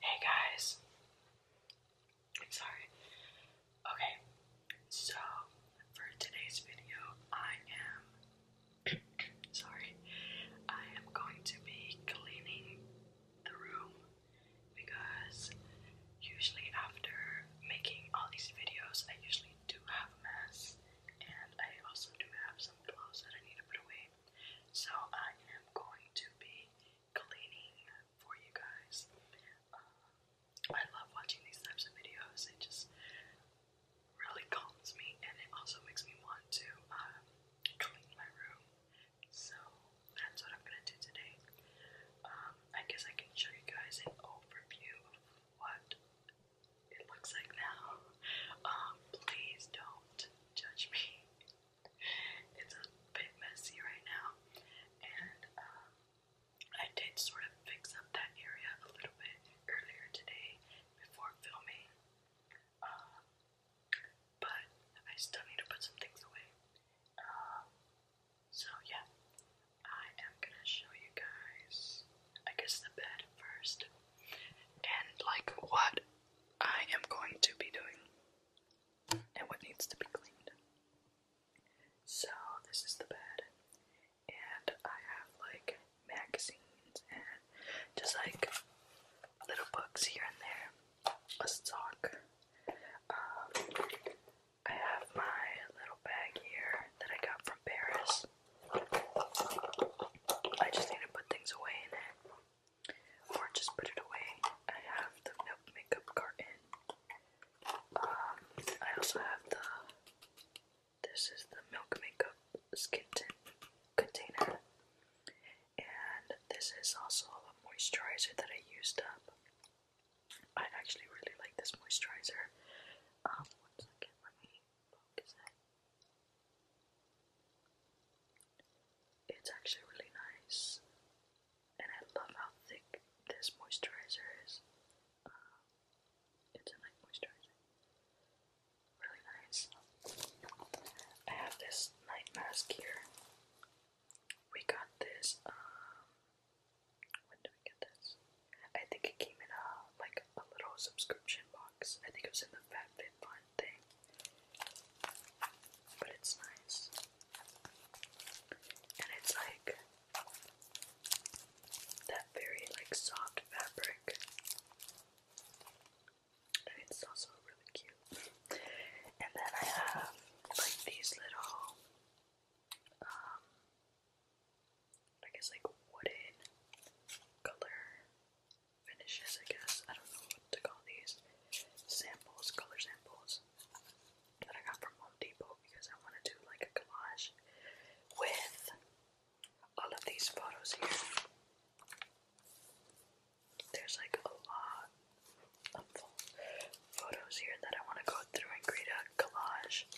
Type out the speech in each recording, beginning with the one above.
Hey guys, sorry. Okay, so for today's video, I am sorry, I am going to be cleaning the room because usually after making all these videos, I usually do have a mess and I also do have some clothes that I need to put away. So I am going to be cleaning for you guys. Uh, I love watching these types of videos. It just really calms me, and it also makes me want to uh, clean my room. So that's what I'm gonna do today. Um, I guess I can show you guys an overview of what it looks like now. Um, please don't judge me. It's a bit messy right now, and um, I did sort of fix up that area a little bit earlier today before filming, um, but I still need to put some things away. Um, so yeah, I am gonna show you guys. I guess the bed first, and like what I am going to be doing and what needs to be cleaned. So, this is the bed, and I have like magazines and just like little books here and there, a sock. Um, I have my little bag here that I got from Paris. I just need to put things away in it or just put it away. I have the milk makeup carton. Um, I also have the. This is the milk makeup skin container, and this is also a moisturizer that I used up. I actually really like this moisturizer. Um, one second, let me focus it. It's actually really nice, and I love how thick this moisturizer is. it's a night moisturizer, really nice. I have this night mask here. We got this. Um, when did we get this? I think it came in a like a little subscription box. I think it was in the FabFitFun thing. But it's nice. And it's like that very like soft fabric. it's also really cute. And then I have like these little um, I guess like wooden color finishes, I guess. I don't know what to call these samples, color samples that I got from Home Depot because I want to like a collage with all of these photos here. There's like a lot of photos here that I want to go through and create a collage,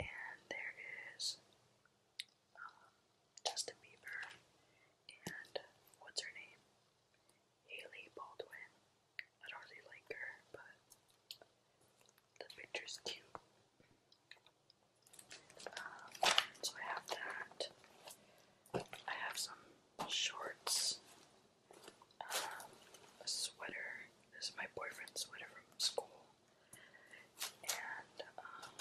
and there is. Um, Justin Bieber, and what's her name? Haley Baldwin. I don't really like her, but the picture's cute. Um, so I have that. I have some shorts, um, a sweater. This is my boyfriend's sweater from school, and um,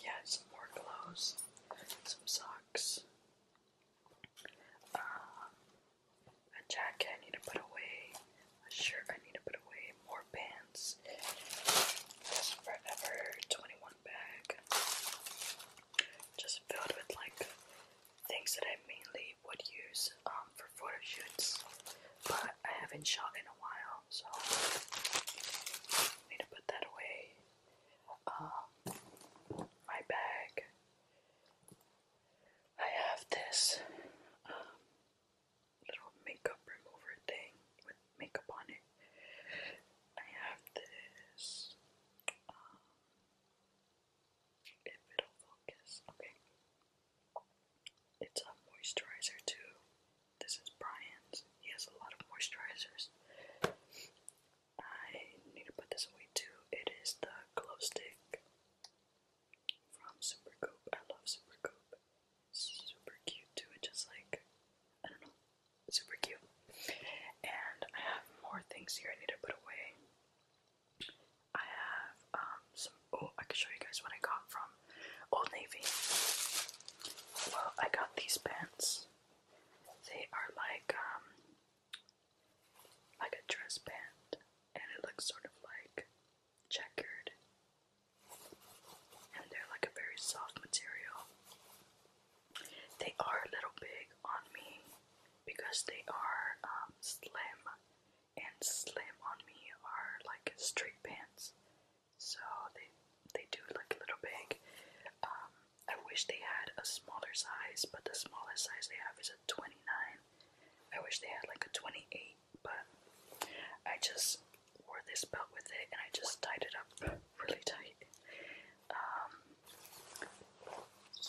yeah, some more clothes, some socks, um, a jacket I need to put away, a shirt I need to put away, more pants, this Forever 21 bag, just filled with like things that I mainly would use um, for photo shoots, but I haven't shot in a while, so I need to put that away um, my bag. I have this um, little makeup remover thing with makeup on it. I have this. if um, it'll focus, okay. It's a moisturizer too. This is Brian's. He has a lot of moisturizers. I need to put this away too. It is the glow stick from Super Cope. I love Super Cope. Super cute too. It just like I don't know, super cute. And I have more things here I need to put away. I have um some. Oh, I can show you guys what I got from Old Navy. Well, I got these pants. They are like um like a dress band and it looks sort of like checkered. And they're like a very soft material. They are a little big on me because they are um, slim, and slim on me are like straight pants, so they they do like a little big. Um, I wish they had a smaller size, but the smallest size they have is a 29. I wish they had like a 28, but I just wore this belt with it and I just tied it up really tight. Um,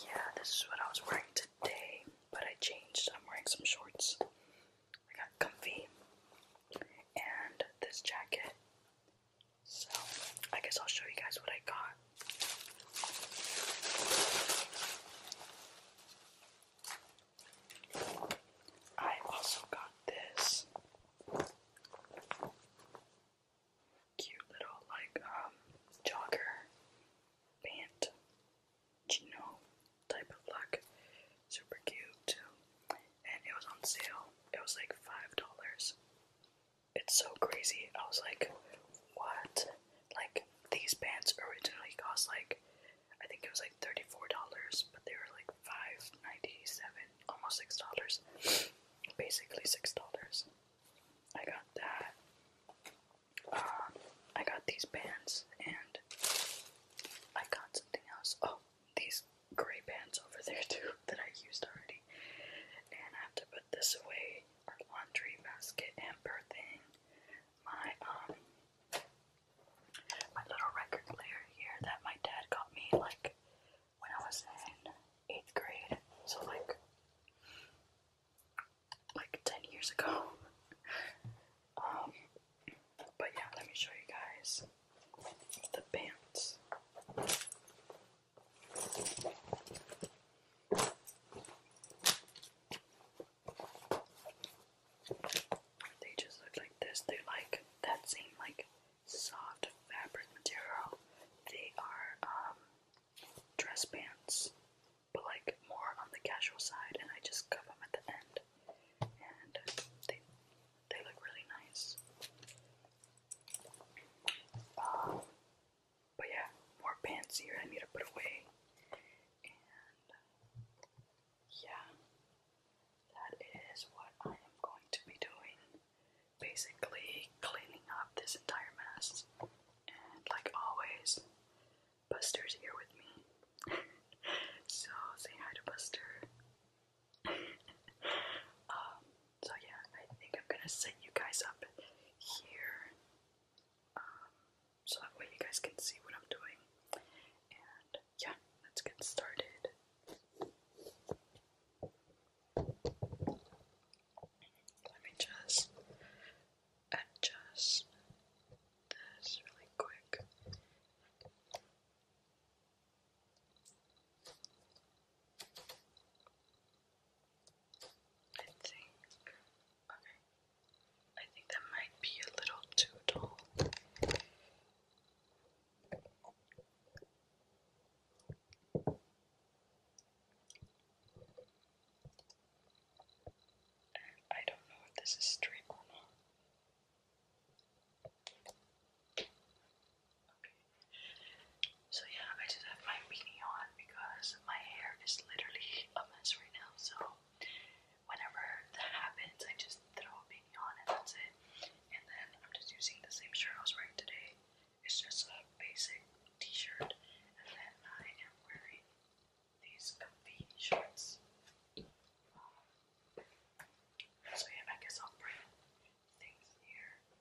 yeah, this is what I was wearing today, but I changed. I'm wearing some shorts. I got comfy. And this jacket so, I guess I'll show you guys what I got. I also got this cute little, like, um, jogger pant, chino type of look. Super cute and it was on sale. It was like five dollars. It's so crazy. I was like, what? Like these pants originally cost like I think it was like thirty-four dollars, but they were like five ninety-seven, almost six dollars. Basically six dollars. I got that. Um, I got these pants and I got something else. Oh, these gray pants over there too that I used already. And I have to put this away, our laundry basket hamper thing, my um my little record player here that my dad got me like when I was in eighth grade. So like like 10 years ago. Um, but yeah, let me show you guys the pants. They just look like this. They're like that same like soft fabric material. They are um, dress pants, but like more on the casual side, and I just cut them at the end. And they they look really nice. Um, but yeah, more pants here I need to put away. And yeah, that is what I am going to be doing. Basically, cleaning up this entire mess. And like always, Buster's here with me. so say hi to Buster. Um, so yeah, I think I'm gonna set you guys up here um, so that way you guys can see what I'm doing. And yeah, let's get started. Let me just adjust this really quick. I think, okay, I think that might be a little too tall. I don't know if this is straight or not. Okay. So yeah, I just have my beanie on because my hair is literally a mess right now. So whenever that happens, I just throw a beanie on and that's it. And then I'm just using the same shirt I was wearing today. It's just a basic t-shirt, and then I am wearing these comfy shorts. Um, so yeah, I guess I'll bring things here.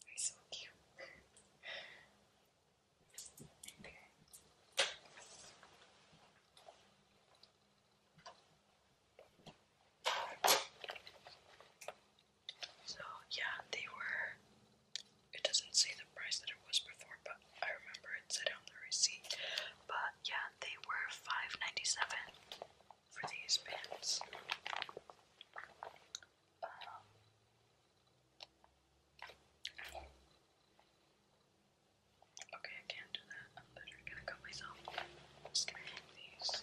They're so cute. So yeah, they were it doesn't say the price that it was before, but I remember it said on the receipt. But yeah, they were five ninety seven for these pins. Um, okay, I can't do that. I'm literally gonna cut myself. just going these.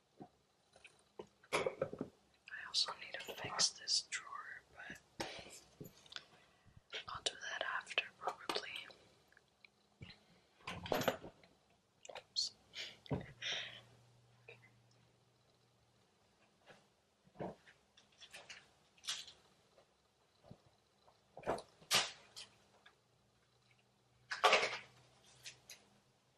I also need to fix this drawer, but I'll do that after probably. Oops.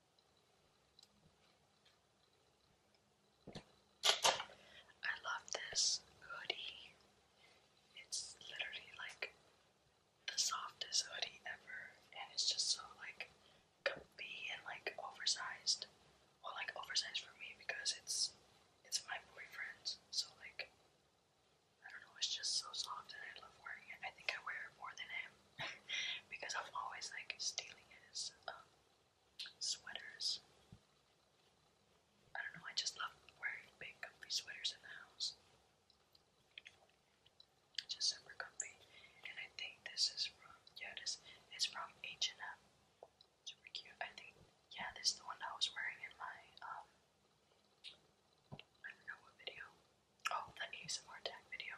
I love this hoodie. It's literally like the softest hoodie ever, and it's just so like comfy and like oversized. Well, like oversized for me because it's it's my boyfriend's, so like I don't know. It's just so soft, and I love wearing it. I think I wear it more than him because I'm always like stealing his um, sweaters. I don't know, I just love wearing big comfy sweaters in the house. Just super comfy. And I think this is from, yeah, this is from H&M. Super cute. I think, yeah, this is the one I was wearing in my, um, I don't know what video. Oh, the ASMR tag video.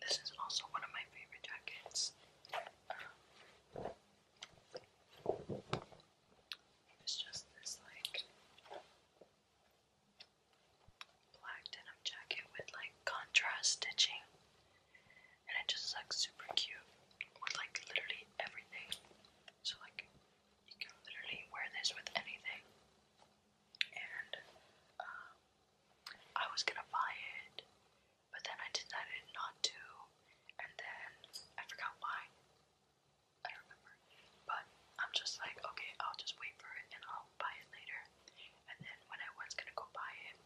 This is also one of my favorite jackets. it's just this like black denim jacket with like contrast stitching and it just looks super cute with like literally everything. So like you can literally wear this with anything. And um, I was gonna buy it, but then I decided not to, and then I forgot why. I don't remember. But I'm just like, okay, I'll just wait for it and I'll buy it later. And then when I was gonna go buy it,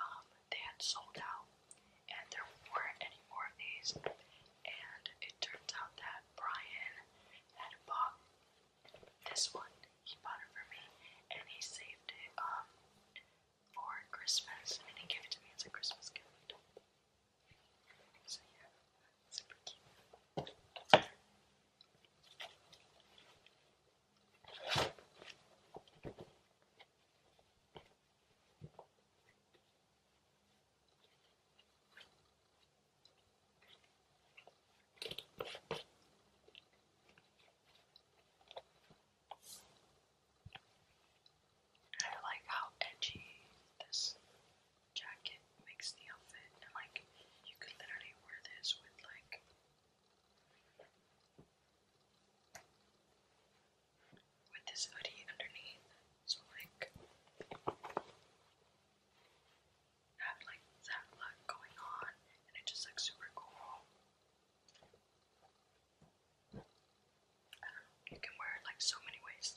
um, they had sold out and there weren't any more of these. And it turns out that Brian had bought this one. He bought it for me, and he saved it um, for Christmas, and he gave it to me as a Christmas gift. So yeah, super cute. I like how edgy this jacket makes the outfit, like you could literally wear this with like with this hoodie underneath. So like have like that look going on and it just looks super cool. I don't know, you can wear it like so many ways.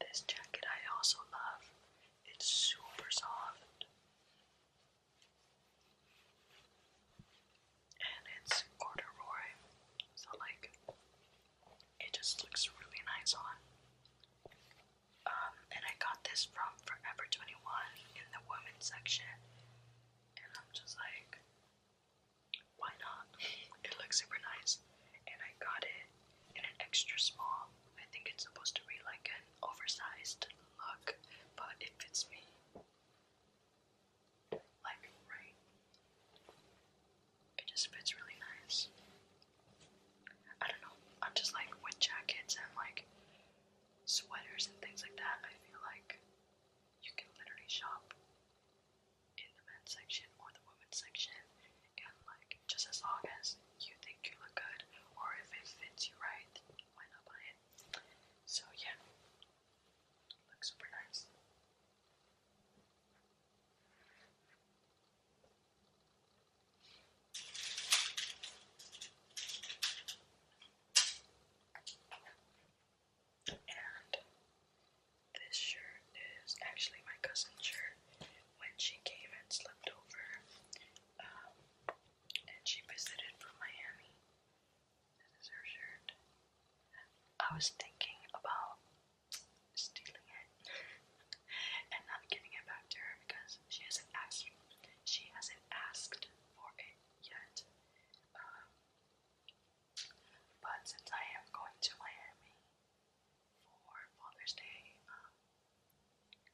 this jacket I also love. It's super soft. And it's corduroy. So like it just looks really nice on. Um, and I got this from Forever 21 in the women's section and I'm just like, why not? It looks super nice, and I got it in an extra small. I think it's supposed to be like an oversized look, but it fits me like right. It just fits really nice. I don't know. I'm just like with jackets and like sweaters and things like that. I feel like you can literally shop in the men's section or the women's section, and like just as long as you think you look good or if it fits you right, why not buy it? So yeah, looks super nice. And this shirt is actually my cousin's shirt when she came and slept over. Um, and she visited from Miami. This is her shirt. I was thinking about stealing it and not giving it back to her because she hasn't asked she hasn't asked for it yet. Um, but since I am going to Miami for Father's Day, um,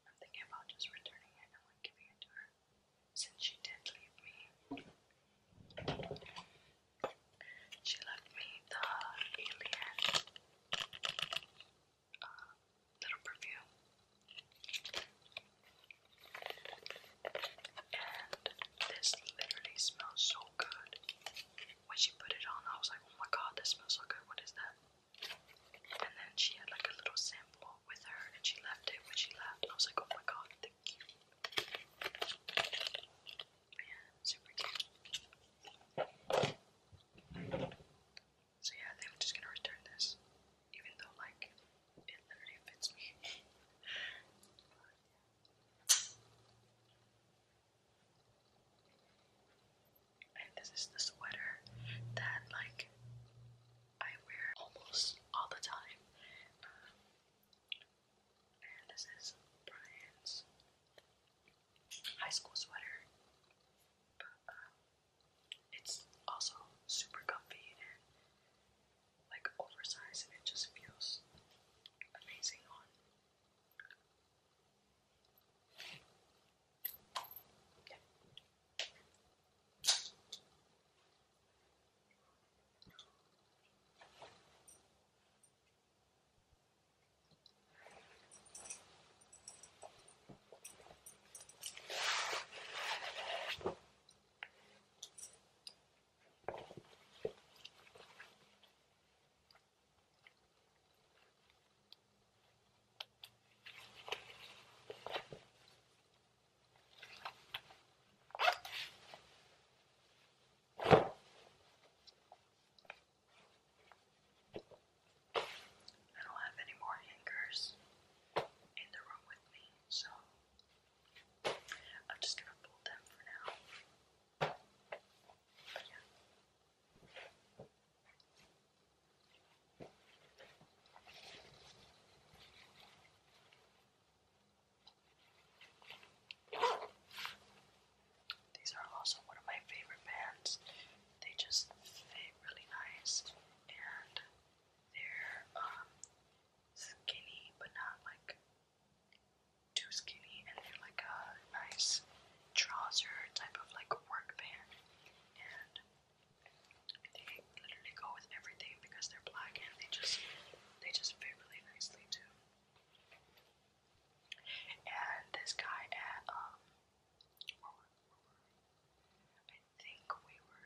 I'm thinking about just returning it and giving it to her since she did leave me. She left me the alien uh, little perfume. And this literally smells so good. When she put it on, I was like, oh my god, this smells so good. What is that? And then she had like a little sample with her and she left it when she left. I was like, oh my god, thank you. Yeah, super cute. So yeah, I I'm just gonna return this even though like it literally fits me. And this is the sweater that like I wear almost all the time. and this is Brian's high school sweater. Um, it's also super comfy like oversized and it just feels amazing on. I don't have any more hangers in the room with me, so I'm just gonna fold them for now. But yeah. These are also one of my favorite bands. They just fit really nice and they're um skinny, but not like too skinny, and they're like a nice trouser type of like work pant, and they literally go with everything because they're black and they just they just fit really nicely too. And this guy at um, I think we were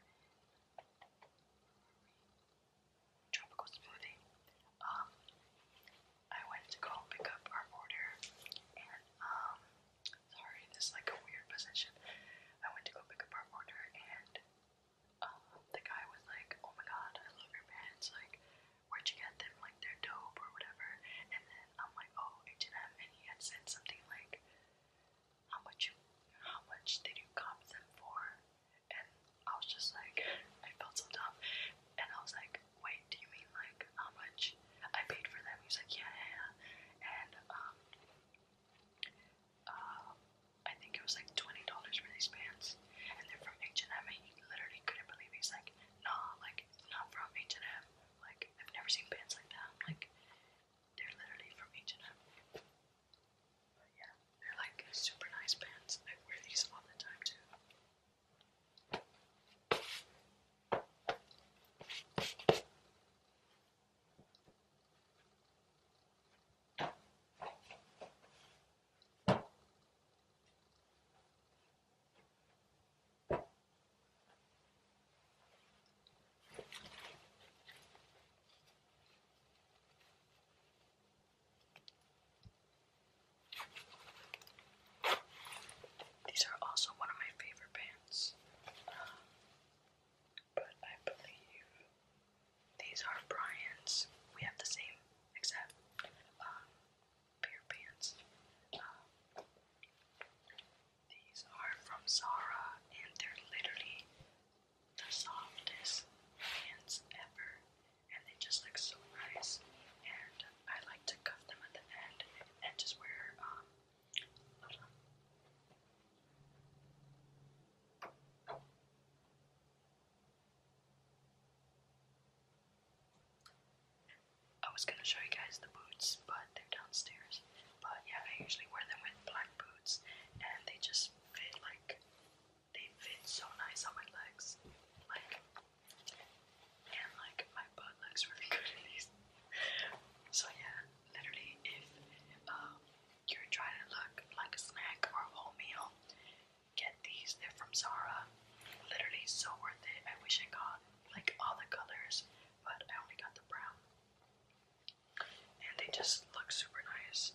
tropical smoothie. Um, I went to go pick up our order, and um, sorry, this like a weird position. I went to go pick up our order, and um, the guy was like, "Oh my god, I love your pants! Like, where'd you get them? Like, they're dope or whatever." And then I'm like, "Oh, H&M," and he had sent something like how much you, how much did you comp them for? And I was just like, I felt so dumb. And I was like, wait, do you mean like how much I paid for them? He was like, yeah, yeah, yeah. And um, uh, I think it was like twenty dollars for these pants, and they're from H and M. And he literally couldn't believe it. He's like, nah, like it's not from H and M. Like I've never seen pants like that. Like they're literally from H and M yeah, they're like super nice pants. I wear these all the time too. These are also one of my favorite bands, um, but I believe these are Brian's. We have the same, except um, pair pants. Um, these are from Zara, and they're literally the softest hands ever, and they just look so nice. And I like to cuff them at the end and just wear um. I was gonna show you guys the boots, but they're downstairs. But yeah, I usually wear them with black boots, and they just fit like they fit so nice on my legs. Like, and like my butt looks really good in these. So yeah, literally, if um, you're trying to look like a snack or a whole meal, get these. They're from Zara. Literally, so worth it. I wish I got like all the colors, but I only got the brown. And they just look super nice.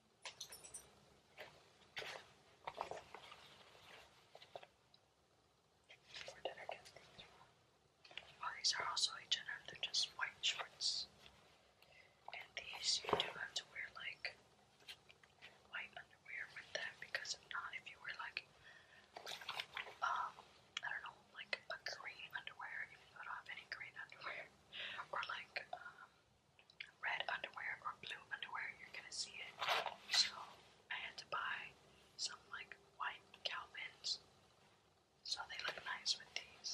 Or these are also H&M, they're just white shorts. And these you do have to wear like white underwear with them because not, if you wear like, um, I don't know, like a green underwear, you don't have any green underwear, or like, um, red underwear or blue underwear, you're gonna see it. So I had to buy some like white Calvins. So they look nice with these.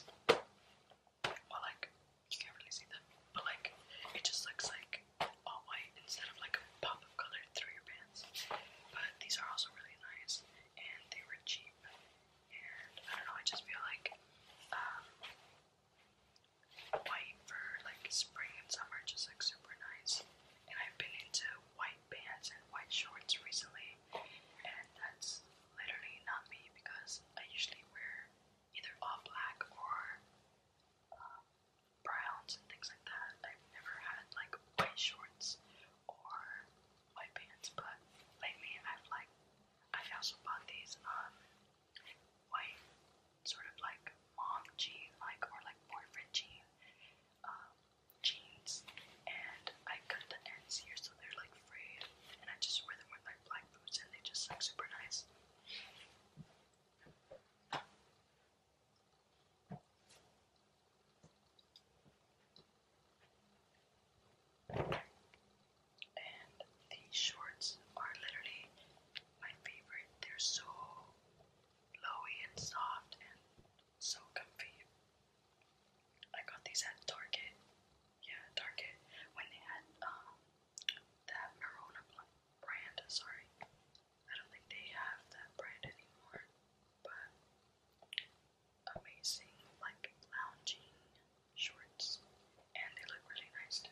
Well like you can't really see them, but like it just looks like all white instead of like a pop of color through your pants. But these are also really nice and they were cheap. And I don't know, I just feel like um, white for like spring and summer, just like super nice. And I've been into white pants and white shorts recently, and that's literally not me because I usually wear either all black or um, browns and things like that. I've never had like white shorts or white pants, but lately I've like I also bought these um, white sort of like mom jean like or like boyfriend jean um, jeans and I cut the ends here so they're like frayed and I just wear them with like black boots and they just look super nice and these shorts are literally my favorite. They're so flowy and soft and so comfy. I got these at Target. Yeah, Target when they had um that Marona brand. Sorry, I don't think they have that brand anymore. But amazing, like lounging shorts, and they look really nice too.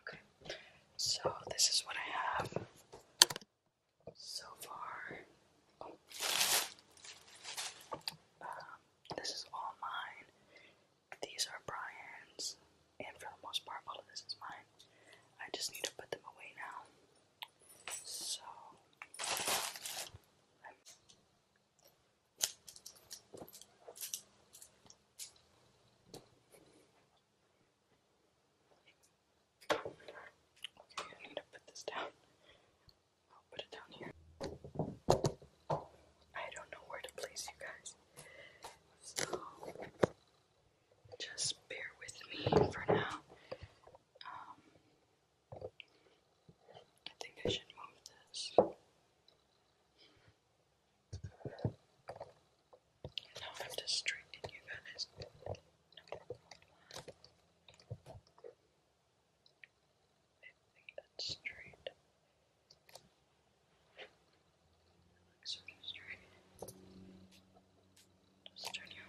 Okay, so this is what I have so far. Um, this is all mine. These are Brian's, and for the most part, all of this is mine. I just need to put them away now. So Okay, I need to put this down. I'll put it down here. I don't know where to place you guys. So just bear with me for now. Um, I think I should move this. Now I have to straighten you guys. I think that's straight. That looks sort straight. Just turn you over.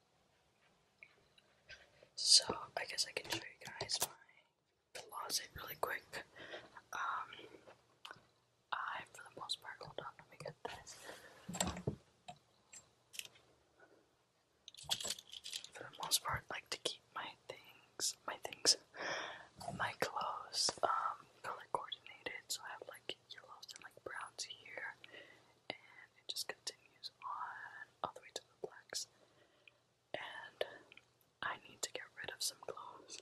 So I guess I can show you guys my closet really quick. Um, I for the most part hold on, let me get this. For the most part, like to keep my things, my things, my clothes, um, color coordinated. So I have like yellows and like browns here, and it just continues on all the way to the blacks. And I need to get rid of some clothes.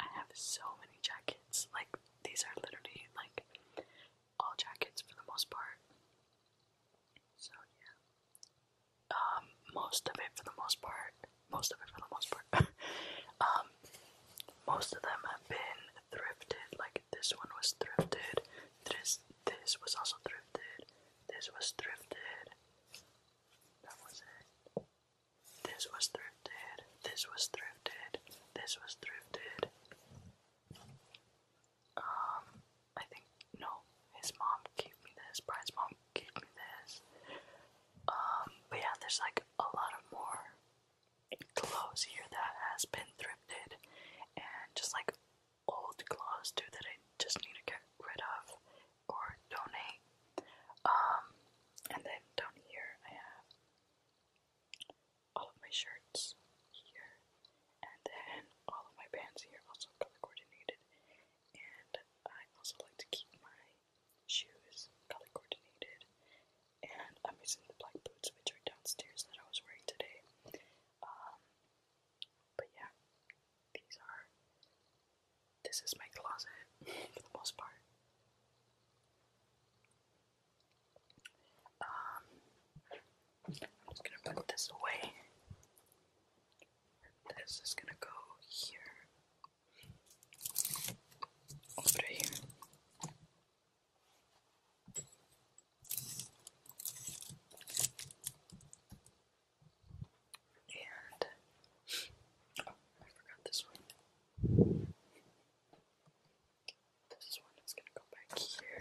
I have so many jackets. Like, these are literally like all jackets for the most part. So, yeah. Um, most of it for the most part. Most of it for the most part. um, most of them have been thrifted. Like, this one was thrifted. This this was also thrifted. This was thrifted. That was it. This was thrifted. This was thrifted. This was thrifted. Um, I think no. His mom gave me this. Brian's mom gave me this. Um, but yeah, there's like a lot of more clothes here that has been thrifted, and just like old claws too that I just need to get rid of or donate. Um, and then down here I have all of my shirts here, and then all of my pants here also color coordinated. And I also like to keep my shoes color coordinated. And I'm using the black boots which are downstairs that I was wearing today. Um, but yeah, these are. This is my closet for the most part. Um, I'm just gonna put this away. This is gonna go here. Over here. And oh, I forgot this one. This one is gonna go back here.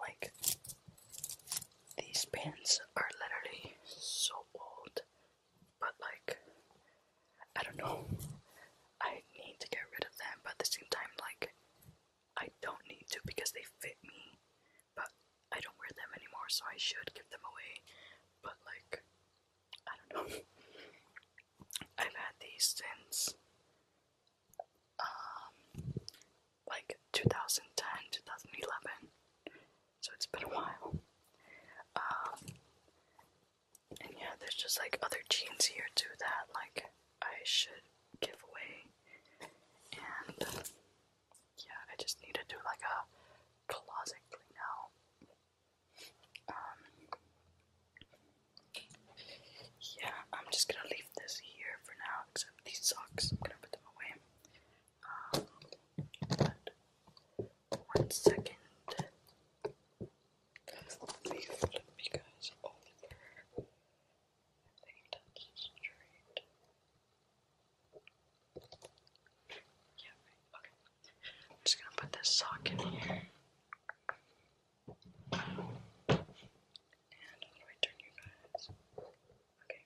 Like, these pins are literally so old. But like, I don't know. I need to get rid of them, but at the same time, like, I don't need to because they fit me. But I don't wear them anymore, so I should give them away. But like, I don't know. I've had these since um like 2010, 2011 so it's been a while. Um, and yeah, there's just like other jeans here too that like I should give away, and yeah, I just need to do like a closet clean out. Um, yeah, I'm just gonna leave this here for now, except these socks, I'm gonna put them away one second let me flip you guys over. Yeah, right, just gonna put this sock in here. And how do turn you guys? Okay,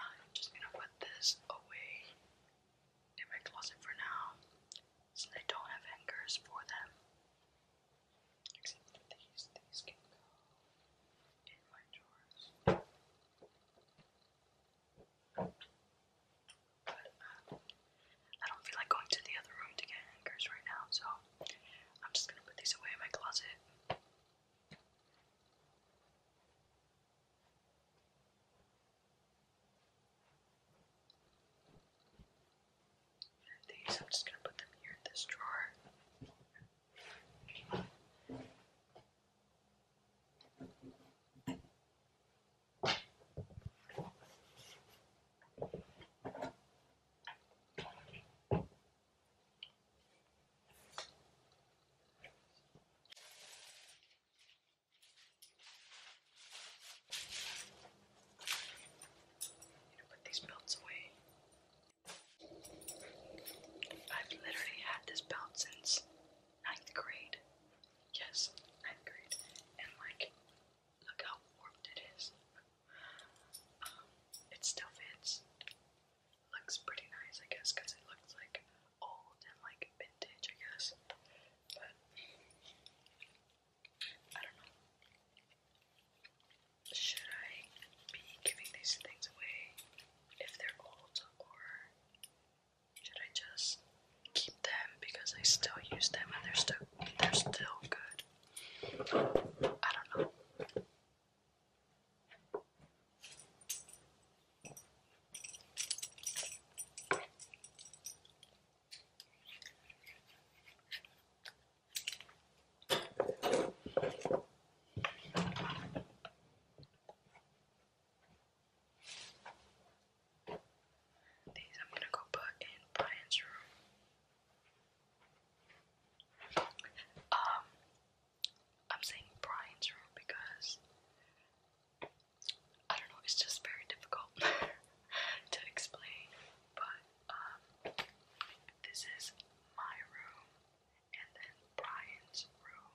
I'm just gonna put this away in my closet for now, so they don't have hangers for them. Except these, these can go in my drawers. Um, I don't feel like going to the other room to get anchors right now, so I'm just gonna put these away in my closet. these, I'm just gonna put them here in this drawer to put these belts away. I've literally had this belt since ninth grade. Yes, ninth grade. And like, look how warped it is. Um, it still fits. Looks pretty nice, I guess, because it looks like old and like vintage, I guess. But I don't know. Should I be giving these things away if they're old, or should I just keep them because I still use them and they're still they're still good? I don't know. These I'm going to go put in Brian's room. Um, I'm saying Brian's room because I don't know, it's just very difficult to explain. But um, this is my room, and then Brian's room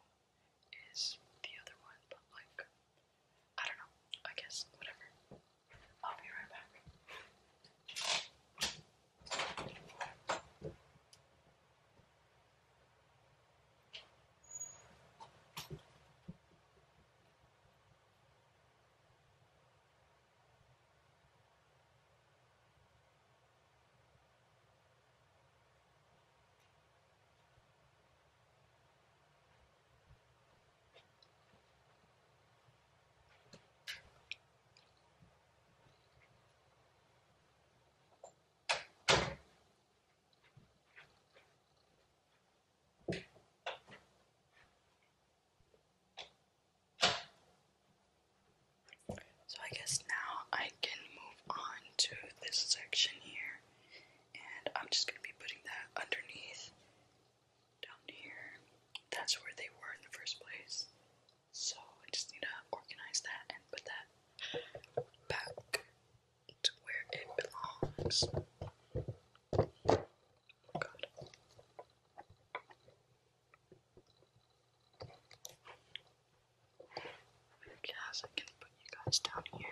is the other one, but like, I don't know, I guess, whatever. I'll be right back. So I guess now I can move on to this section here, and I'm just going to be putting that underneath down here. That's where they were in the first place. So I just need to organize that and put that back to where it belongs. Oh I can put you guys down here.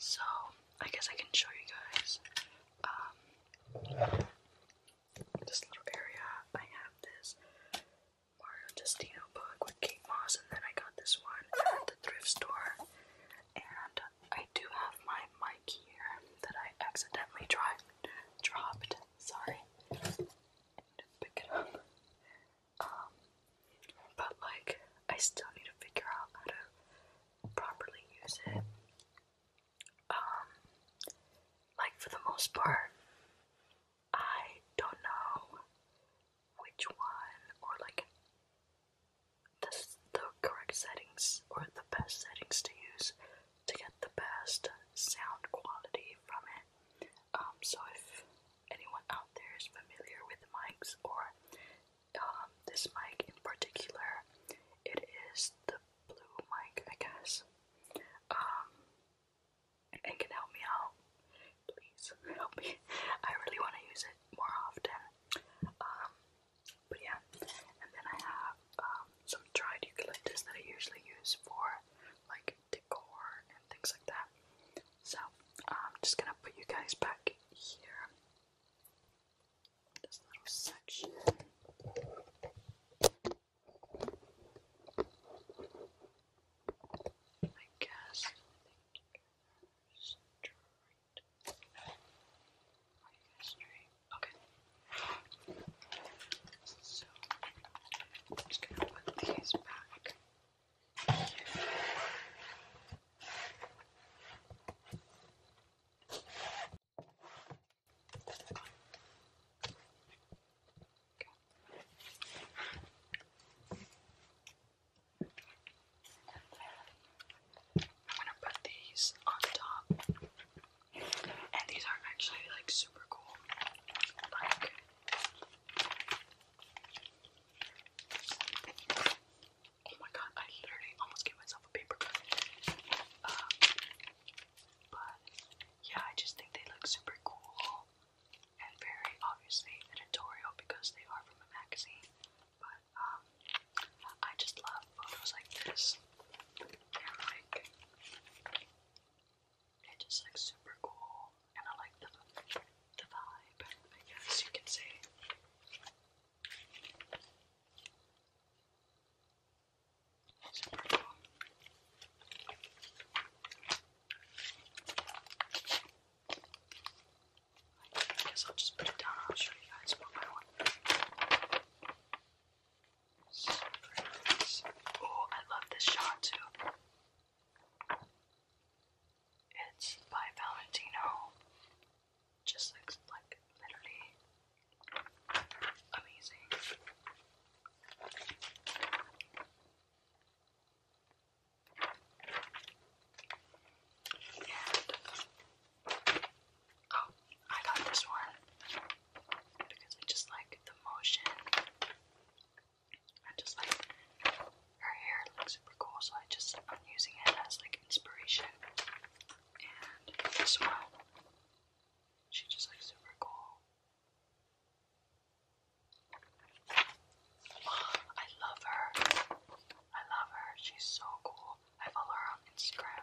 So, I guess I can show you guys um, this little area. I have this Mario Justino book with Kate Moss, and then I got this one at the thrift store. And I do have my mic here that I accidentally tried, dropped. Sorry, I pick it up. Um, but like, I still need to figure out how to properly use it. Um, like for the most part, I don't know which one or like the, the correct settings or the best settings to use to get the best sound quality from it. Um, so if anyone out there is familiar with mics or um, this mic in particular, it is the blue mic, I guess. Um, and can help me out, please help me. I really want to use it more often. Um, but yeah, and then I have um, some dried eucalyptus that I usually use for like decor and things like that. So I'm just gonna put you guys back here. This little section. I guess straight. Are you guys straight? Okay. So I'm just gonna put these back. Here. Okay. I'm gonna put these on top, and these are actually like super cool. oh my god, I literally almost gave myself a paper cut. Uh, but yeah, I just think they look super cool and very obviously editorial because they are from a magazine. But um, I just love photos like this. They're like they're just like super cool, and I like the the vibe. I guess you can say. Super cool. I guess I'll just put it down I'll show you guys one by one. oh, I love this shot too. It's by Valentino. Just looks like literally amazing. And oh, I got this one because I just like the motion. I just like her hair looks super cool, so I just I'm using it as like inspiration. And this one, she just looks super cool. I love her. I love her. She's so cool. I follow her on Instagram.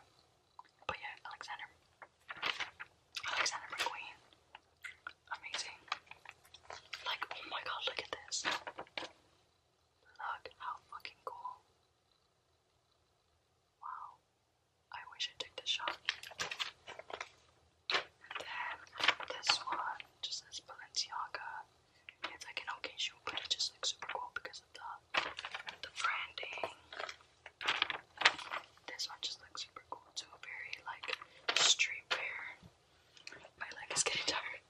But yeah, Alexander. Alexander McQueen. Amazing. Like, oh my god, look at this. Look how fucking cool. Wow. I wish I took this shot. And then this one just says Balenciaga. It's like an occasion, but it just looks super cool because of the the branding. This one just looks super cool too. Very like streetwear. My leg is getting tired.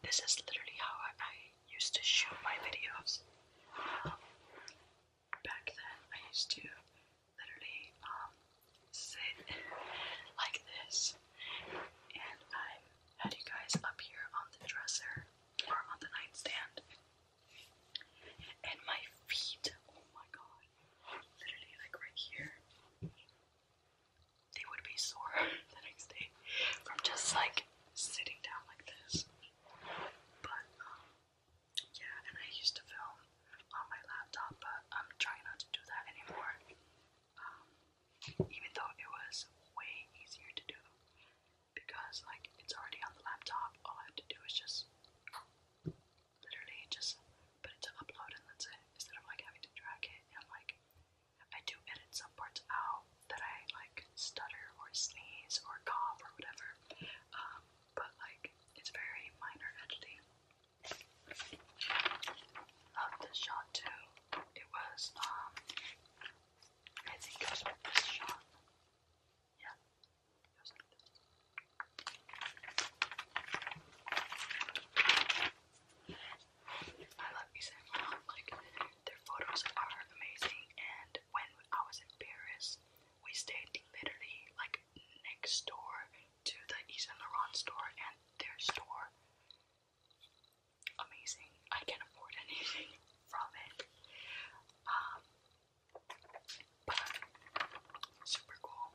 This is literally how I, I used to shoot my videos back then I used to literally um, sit like this, and I had you guys up here on the dresser or on the nightstand, and my feet, oh my god, literally like right here, they would be sore the next day from just like sitting down like this. But um, yeah, and I used to film on my laptop, but I'm trying not to do that anymore. Um, even though it was way easier to do because, like, it's already on the laptop. All I have to do is just literally just put it to upload, and that's it. Instead of like having to drag it and like. I do edit some parts out that I like stutter or sneeze or cough or whatever, um, but like it's very minor editing. Love this shot too. It was um I think it was with this shot. Yeah. I love these Saint um, like their photos are amazing and when I was in Paris we stayed literally like next door to the East store and their store. Amazing. I can afford anything from it. Um, super cool,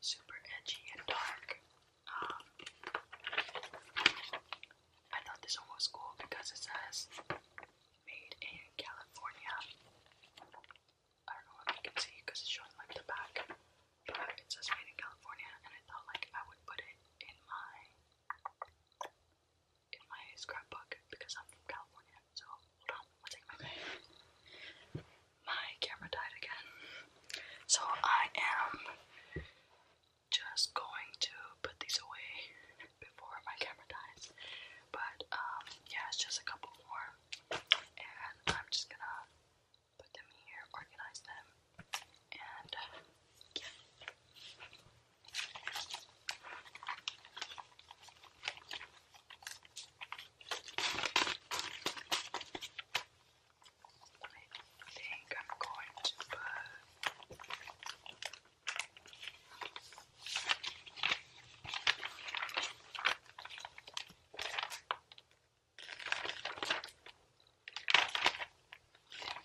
super edgy and dark. Um, I thought this one was cool because it says made in California. I don't know if you can see because it's showing like the back, but it says made in California, and I thought like I would put it in my in my scrapbook because I'm from California. So hold on, I'll take my bag. My camera died again, so I am just going to put these away before my camera dies. But um, yeah, it's just a couple more and I'm just gonna put them here, organize them, and yeah. I think I'm going to put I'm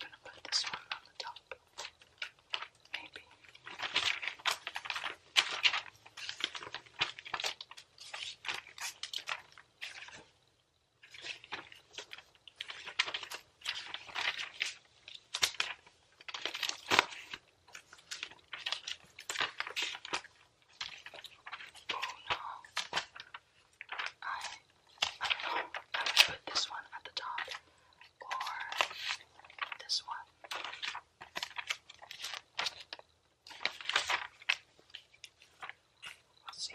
going to put this one on the top. Maybe. Oh no. I I don't know. I would put this one at the top or this one. Let's see.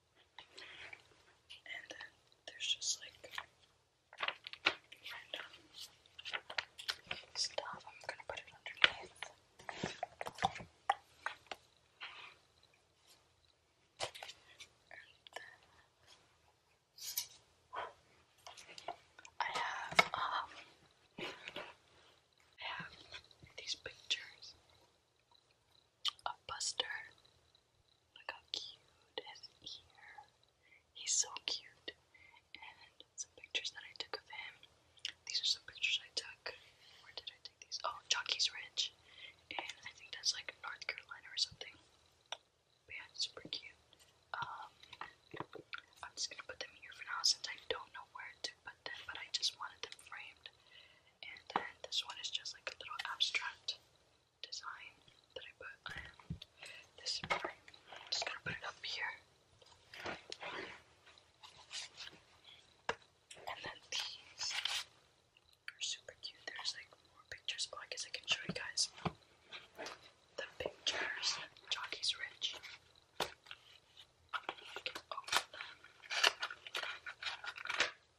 And then there's just like random stuff. I'm gonna put it underneath. And then I have um I have these pictures a Buster. Look how cute his ear. He's so cute. And some pictures that I took of him. These are some pictures I took. Where did I take these? Oh, Jockey's Ridge. And I think that's like North Carolina or something. But yeah, super cute. Um, I'm just gonna put them here for now since I don't know where to put them, but I just wanted them framed. And this one is just like a little abstract design that I put this I'm just gonna put it up here. And then these are super cute. There's like more pictures. Oh, I guess I can show you guys the pictures. Jockey's Ridge. And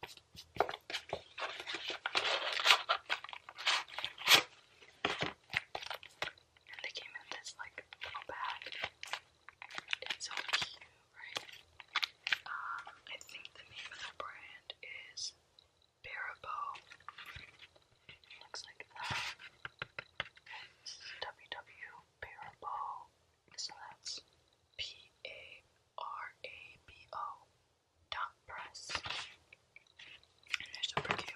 they came in this like little bag. It's so cute, right? Um, I think the name of the brand is Barabo. Looks like that. It's WW Barabo. So that's P A R A B O dot press. And they're super cute.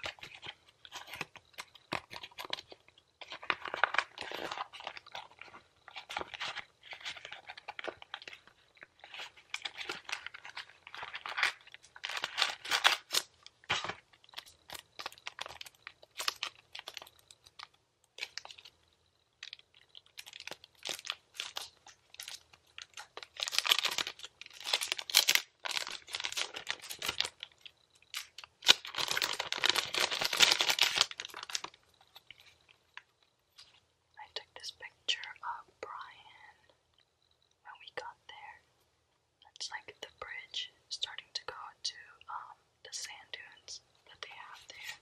I took this picture of Brian when we got there. That's like the bridge starting to go to um, the sand dunes that they have there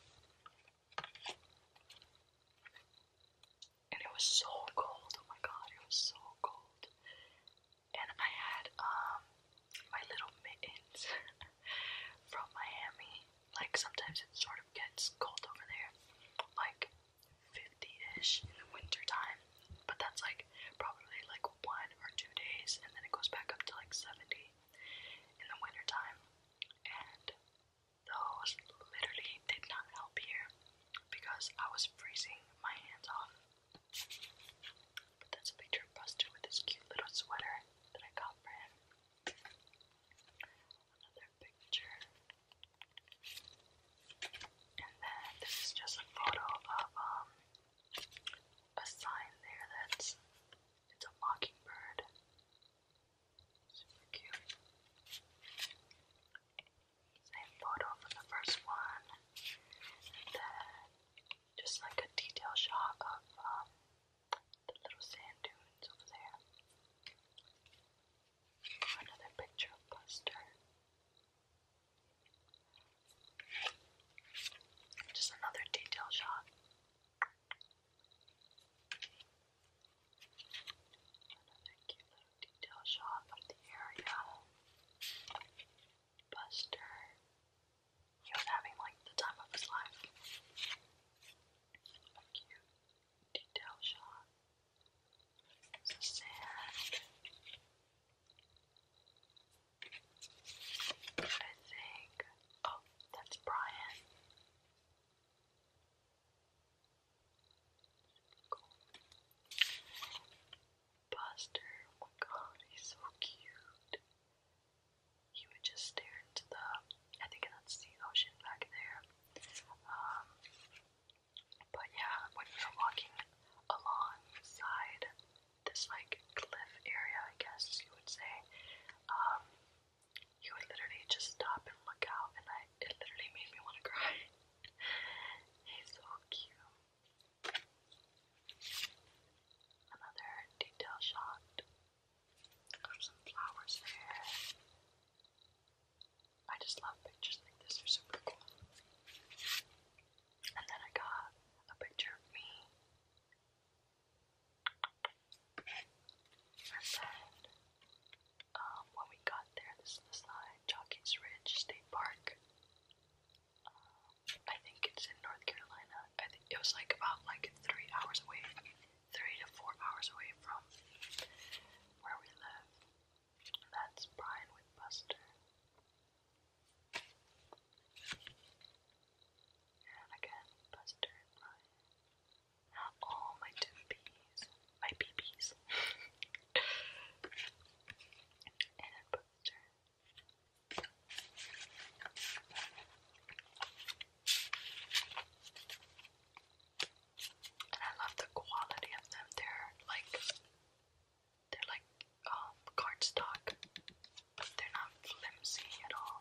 and it was so cold. Oh my god, it was so cold. And I had um my little mittens from Miami. Like sometimes it sort of gets cold over there, like 50-ish in the winter time. But that's like probably like one or two days, and then it goes back up to like 70 in the winter time. And those literally did not help here because I was freezing my hands off. But that's a picture of Buster with his cute little sweater that I got for him. Another picture. And then this is just a photo of um a sign there that's it's a mockingbird. Same photo from the first one. then just like a detail shot of um, the little sand dunes over there. Another picture of Buster. Just another detail shot. Another cute little detail shot of the area. Buster. He was having like the time of his life. cute detail shot. Some sand. I think. Oh, that's Brian. Buster, my oh god, he's so cute. He would just stare into the, I think that's the ocean back there. Um, but yeah, when we were walking alongside this like cliff area, I guess you would say, um, you would literally just stop and look out, and I it literally made me want to cry. He's so cute. Another detail shot. Got some flowers there. I just love pictures like this, they're super cool. And then I got a picture of me. And then um, when we got there. This is the sign, Jockey's Ridge State Park. Um, I think it's in North Carolina. I think it was like about like three hours away, three to four hours away from where we live. That's Brian with Buster. And again, Buster Brian all my p's, my BBs. and booster. And I love the quality of them. They're like they're like um cardstock, they're not flimsy at all.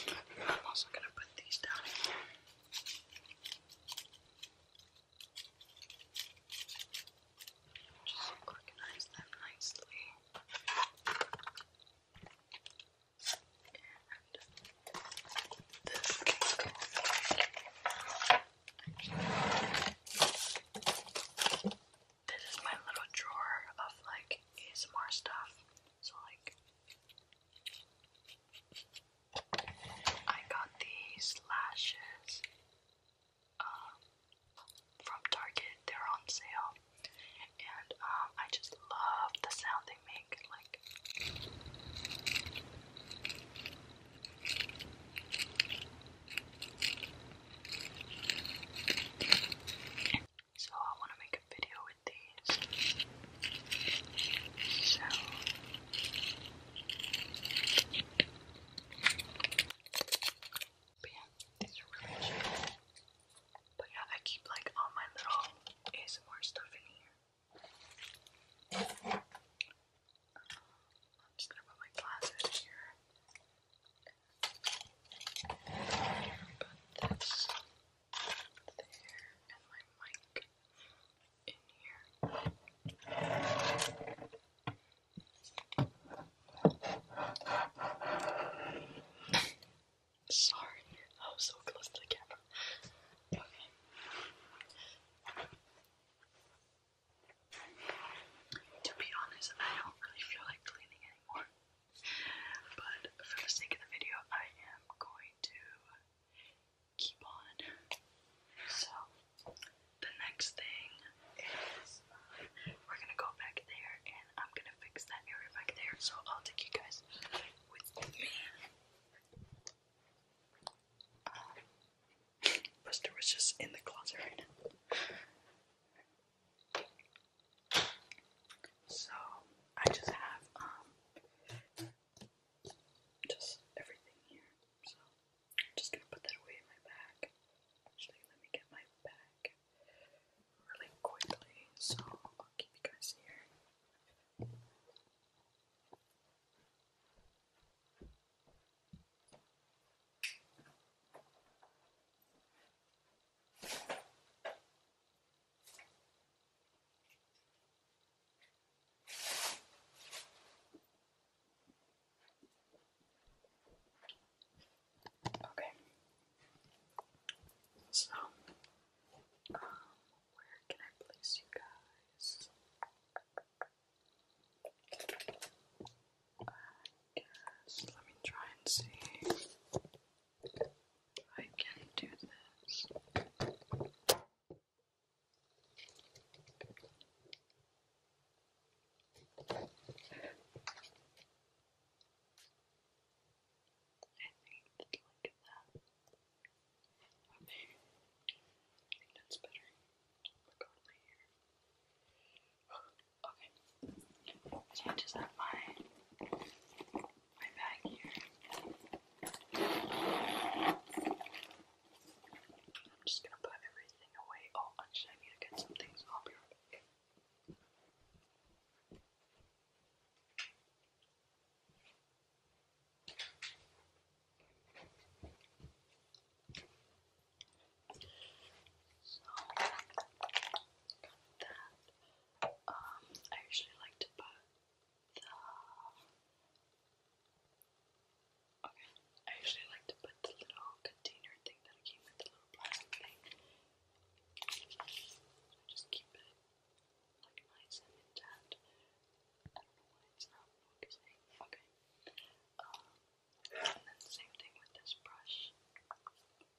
I'm also going to put these down in here. Just organize them nicely. And this can go Actually, this is my little drawer of like ASMR stuff. So like I got these lashes um from Target. They're on sale. And um I just love the sound they make like so I want to make a video with these. So but yeah, these are really cheap. But yeah, I keep like all my little ASMR stuff in here. Um, I'm just gonna put my glasses here. Put this there and my mic in here. Sorry, I was so close to the camera. Okay. To be honest, I don't really feel like cleaning anymore. But for the sake of the video, I am going to keep on. So, the next thing is uh, we're gonna go back there and I'm gonna fix that area back there. So, I'll take you guys with me. Uh, Buster was just in the closet right now. So I just have um just everything here. So I'm just gonna put that away in my bag. Actually, let me get my bag really quickly. So I'll keep you guys here. Okay. So, um, where can I place you guys? let me try and see I can do this. I think that's better. Look over here. Okay. So I just have my my bag here. I'm just gonna put everything away. Oh, actually, I need to get some things. I'll be right back. So that um I usually like to put the Okay, I usually like to put the little container thing that came with the little plastic thing. I just keep it like nice and intact. I don't know why it's not focusing. Okay. and then same thing with this brush.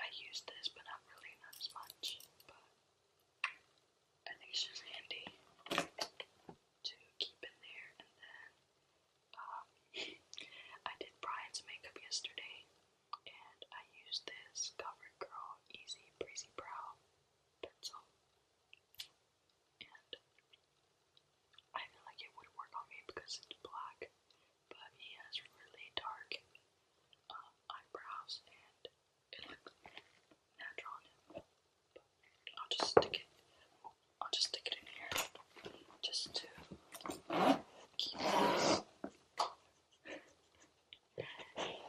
I use this, but not really, as much. But I think it's just handy to keep in there. And then um, I did Brian's makeup yesterday, and I used this Covered Easy Breezy Brow pencil. And I feel like it would work on me because it's black, but he has really dark uh, eyebrows and it looks natural on him. I'll just stick it. I'll just stick it in here, just to keep this.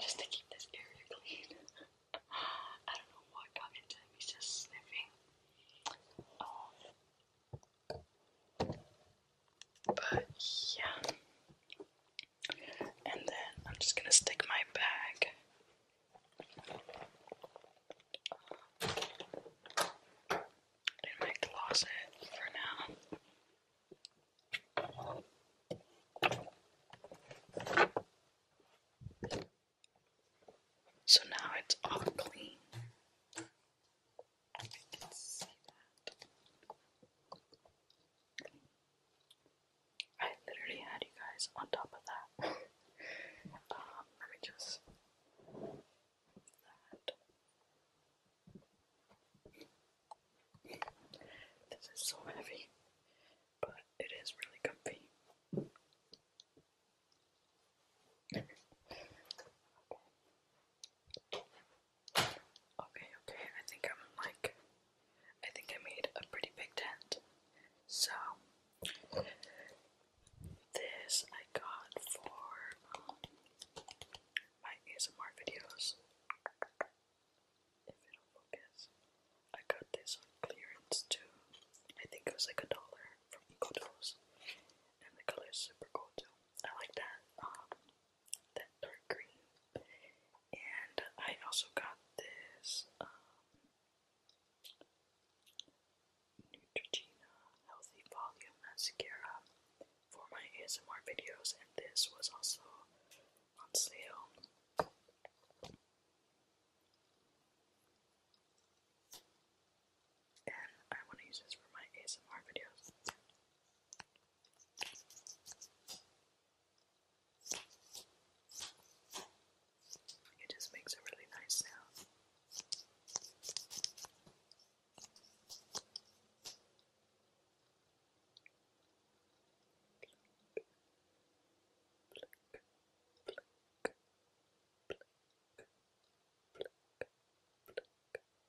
just to keep this area clean. I don't know what got into him. He's just sniffing. Um, but yeah. And then I'm just gonna stick my bag. In my closet for now. So now it's all clean. I literally had you guys on top of that. Um, let me just This is so heavy, but it is really comfy. Okay, okay, I think I'm like, I think I made a pretty big tent. So, this I got for my ASMR videos. If it'll focus, I got this on clearance too. I think it was like a dollar from EcoDose, and the color is super cool too. I like that, um, that dark green. And I also got this, um, Neutrogena Healthy Volume Mascara for my ASMR videos, and this was also on sale and I want to use this for my ASMR videos. It just makes a really nice sound.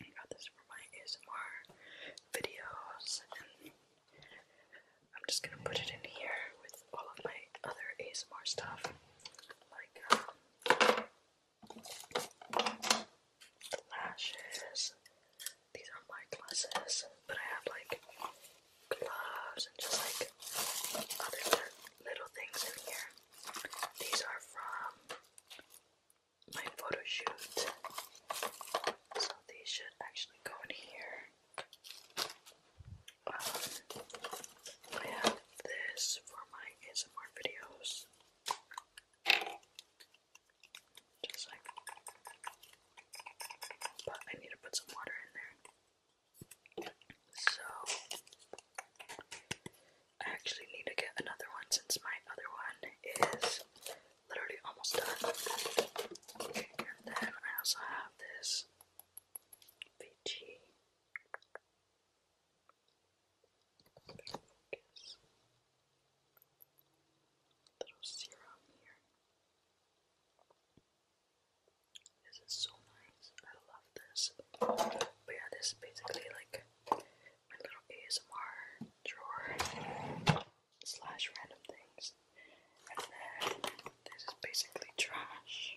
I got this for my ASMR videos, and I'm just gonna put it in here with all of my other ASMR stuff, like um, lashes. These are my glasses, but I have like gloves and just like other little things in here. These are from my photo shoot. So these should actually go in here. Um, I have this for my ASMR videos. Just like, but I need to put some water in there. So, I actually need to get another one since my other one is literally almost done. And then I also have this VG. Focus. Little serum here. This is so nice. I love this. But yeah, this is basically like my little ASMR drawer slash random things. And then this is basically trash.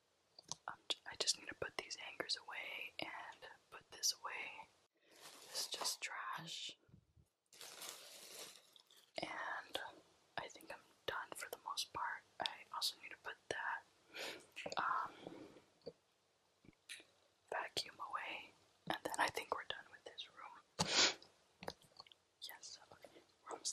i just need to put these anchors away and put this away. This is just trash. And I think I'm done for the most part. I also need to put that um, vacuum away. And then I think we're done with this room. Yes, okay, room's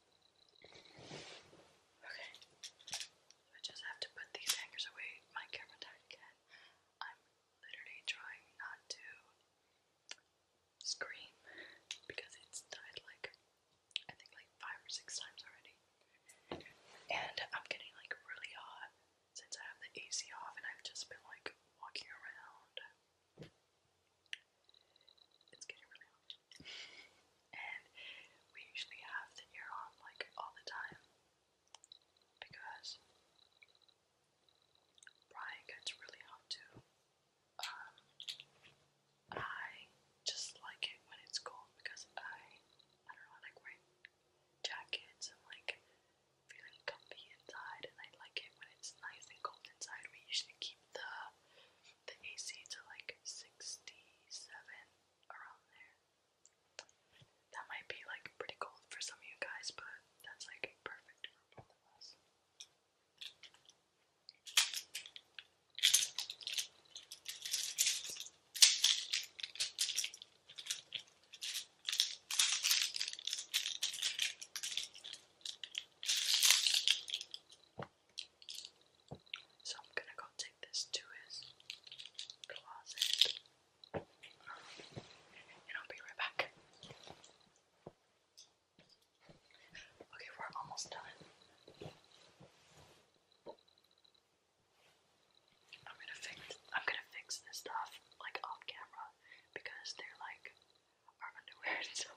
Okay. I just have to put these hangers away. My camera died again. I'm literally trying not to scream because it's died like I think like five or six times already. And I'm getting like really hot since I have the AC off and I've just been like walking around. It's getting really hot and we usually have the ear on like all the time because Brian gets really hot too. Um, I just like it when it's cold because I, I don't know, I like wearing jackets and like feeling comfy inside, and I like it when it's nice and cold inside. We usually keep the the AC to like sixty seven around there. That might be like pretty cold for some of you guys, but that's like perfect for both of us. So I'm gonna go take this to his closet. and I'll be right back. Okay, we're almost done. I'm gonna fix I'm gonna fix this stuff like off camera because they're like our underwear so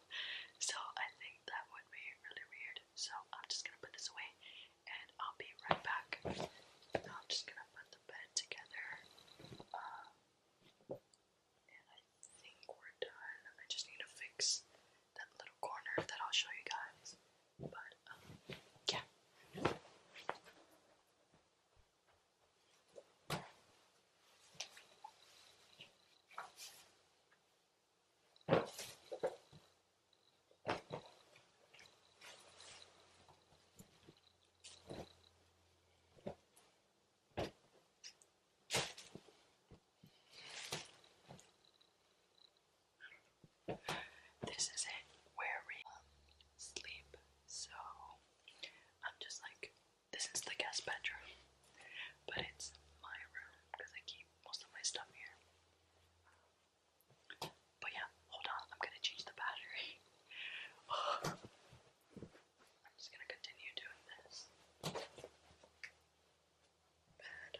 so I think that would be really weird. So I'm just gonna put this away and I'll be right back. I'm just gonna put the bed together. Um, and I think we're done. I just need to fix that little corner that I'll show you guys. But, um, yeah. This is it where we sleep. So I'm just like, this is the guest bedroom, but it's my room because I keep most of my stuff here. But yeah, hold on, I'm gonna change the battery. I'm just gonna continue doing this. Bad.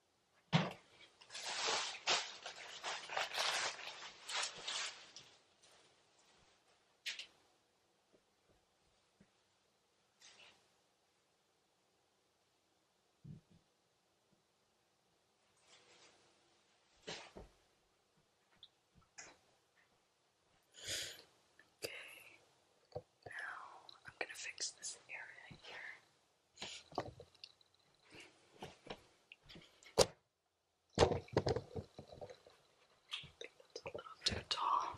Okay, now I'm going to fix this area here that's a little too tall.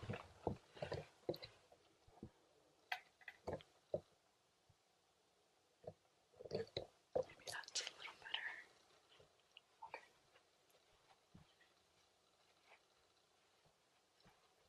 that's a little better. Okay.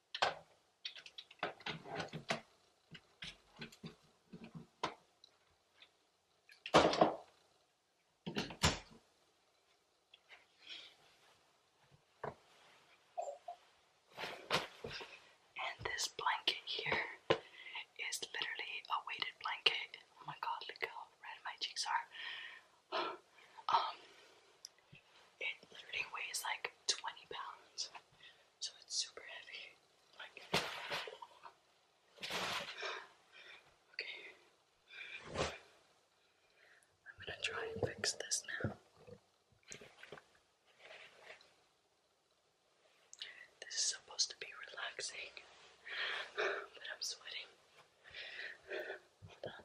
And this blanket here is literally a weighted blanket. Oh my god, look how red my cheeks are. Um, it literally weighs like 20 pounds so it's super heavy. okay, I'm gonna try and fix this now. This is supposed to be relaxing, but I'm sweating. Hold on.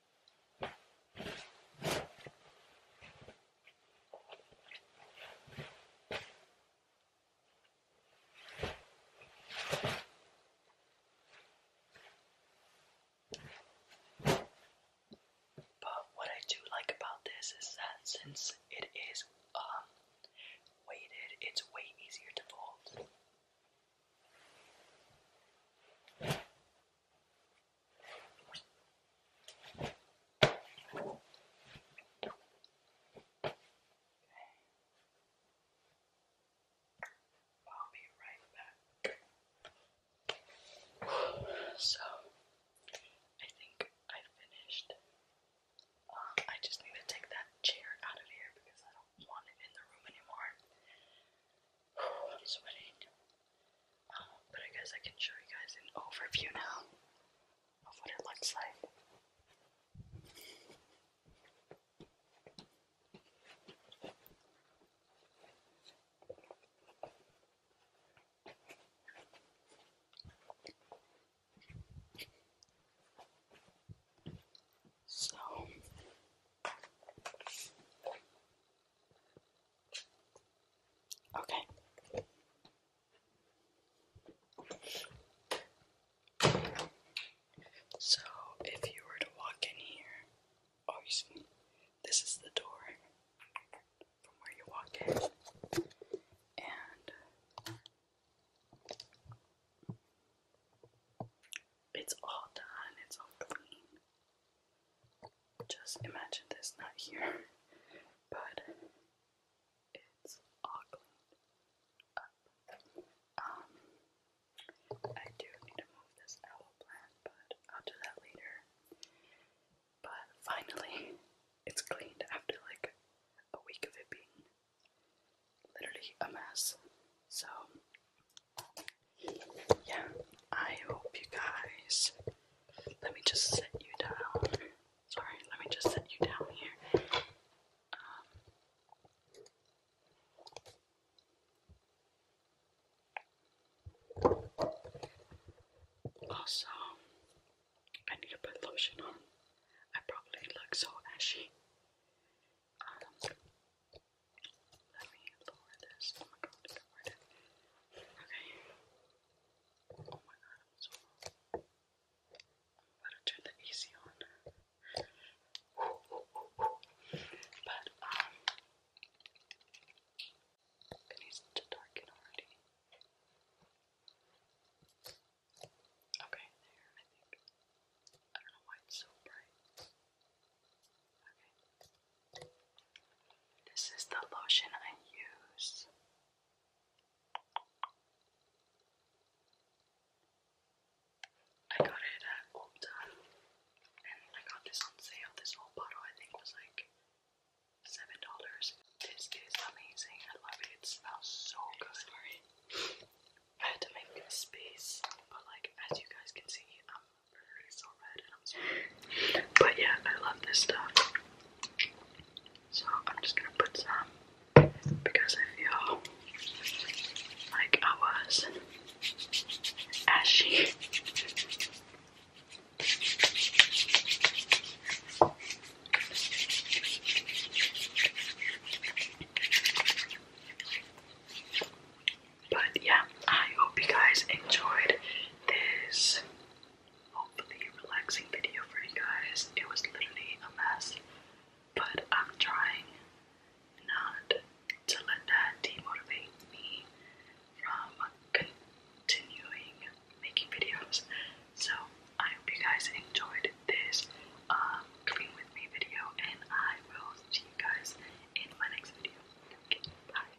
But what I do like about this is that since it is um weighted, it's way easier to fold. I'll So, I think I finished. Um, I just need to take that chair out of here because I don't want it in the room anymore. I'm sweating. Um, but I guess I can show you guys an overview now of what it looks like. So Okay. So, if you were to walk in here, obviously, oh, this is the door from where you walk in, and it's all done, it's all clean just imagine this not here, but it's all Um, I do need to move this owl plant, but I'll do that later. But finally, it's cleaned after like a week of it being literally a mess. So, yeah, I hope you guys let me just set you down. Sorry, let me just set you down here. Um, also, I need to put lotion on. I probably look so ashy. Um, let me lower this. Oh okay. Oh my I'm so to turn the AC on. But, um, it needs to darken already. Okay, there, I think. I don't know why it's so bright. Okay. This is the lotion I use. I got it at Ulta and I got this on sale. This whole bottle I think was like seven dollars. This is amazing. I love it. It smells so good. Sorry. I had to make space, but like as you guys can see, I'm i But yeah, I love this stuff. So I'm just gonna put some because I feel like I was ashy. But yeah, I hope you guys enjoyed this hopefully relaxing video for you guys. It was literally a mess, but I'm trying not to let that demotivate me from continuing making videos. So I hope you guys enjoyed this um, clean with me video, and I will see you guys in my next video. bye.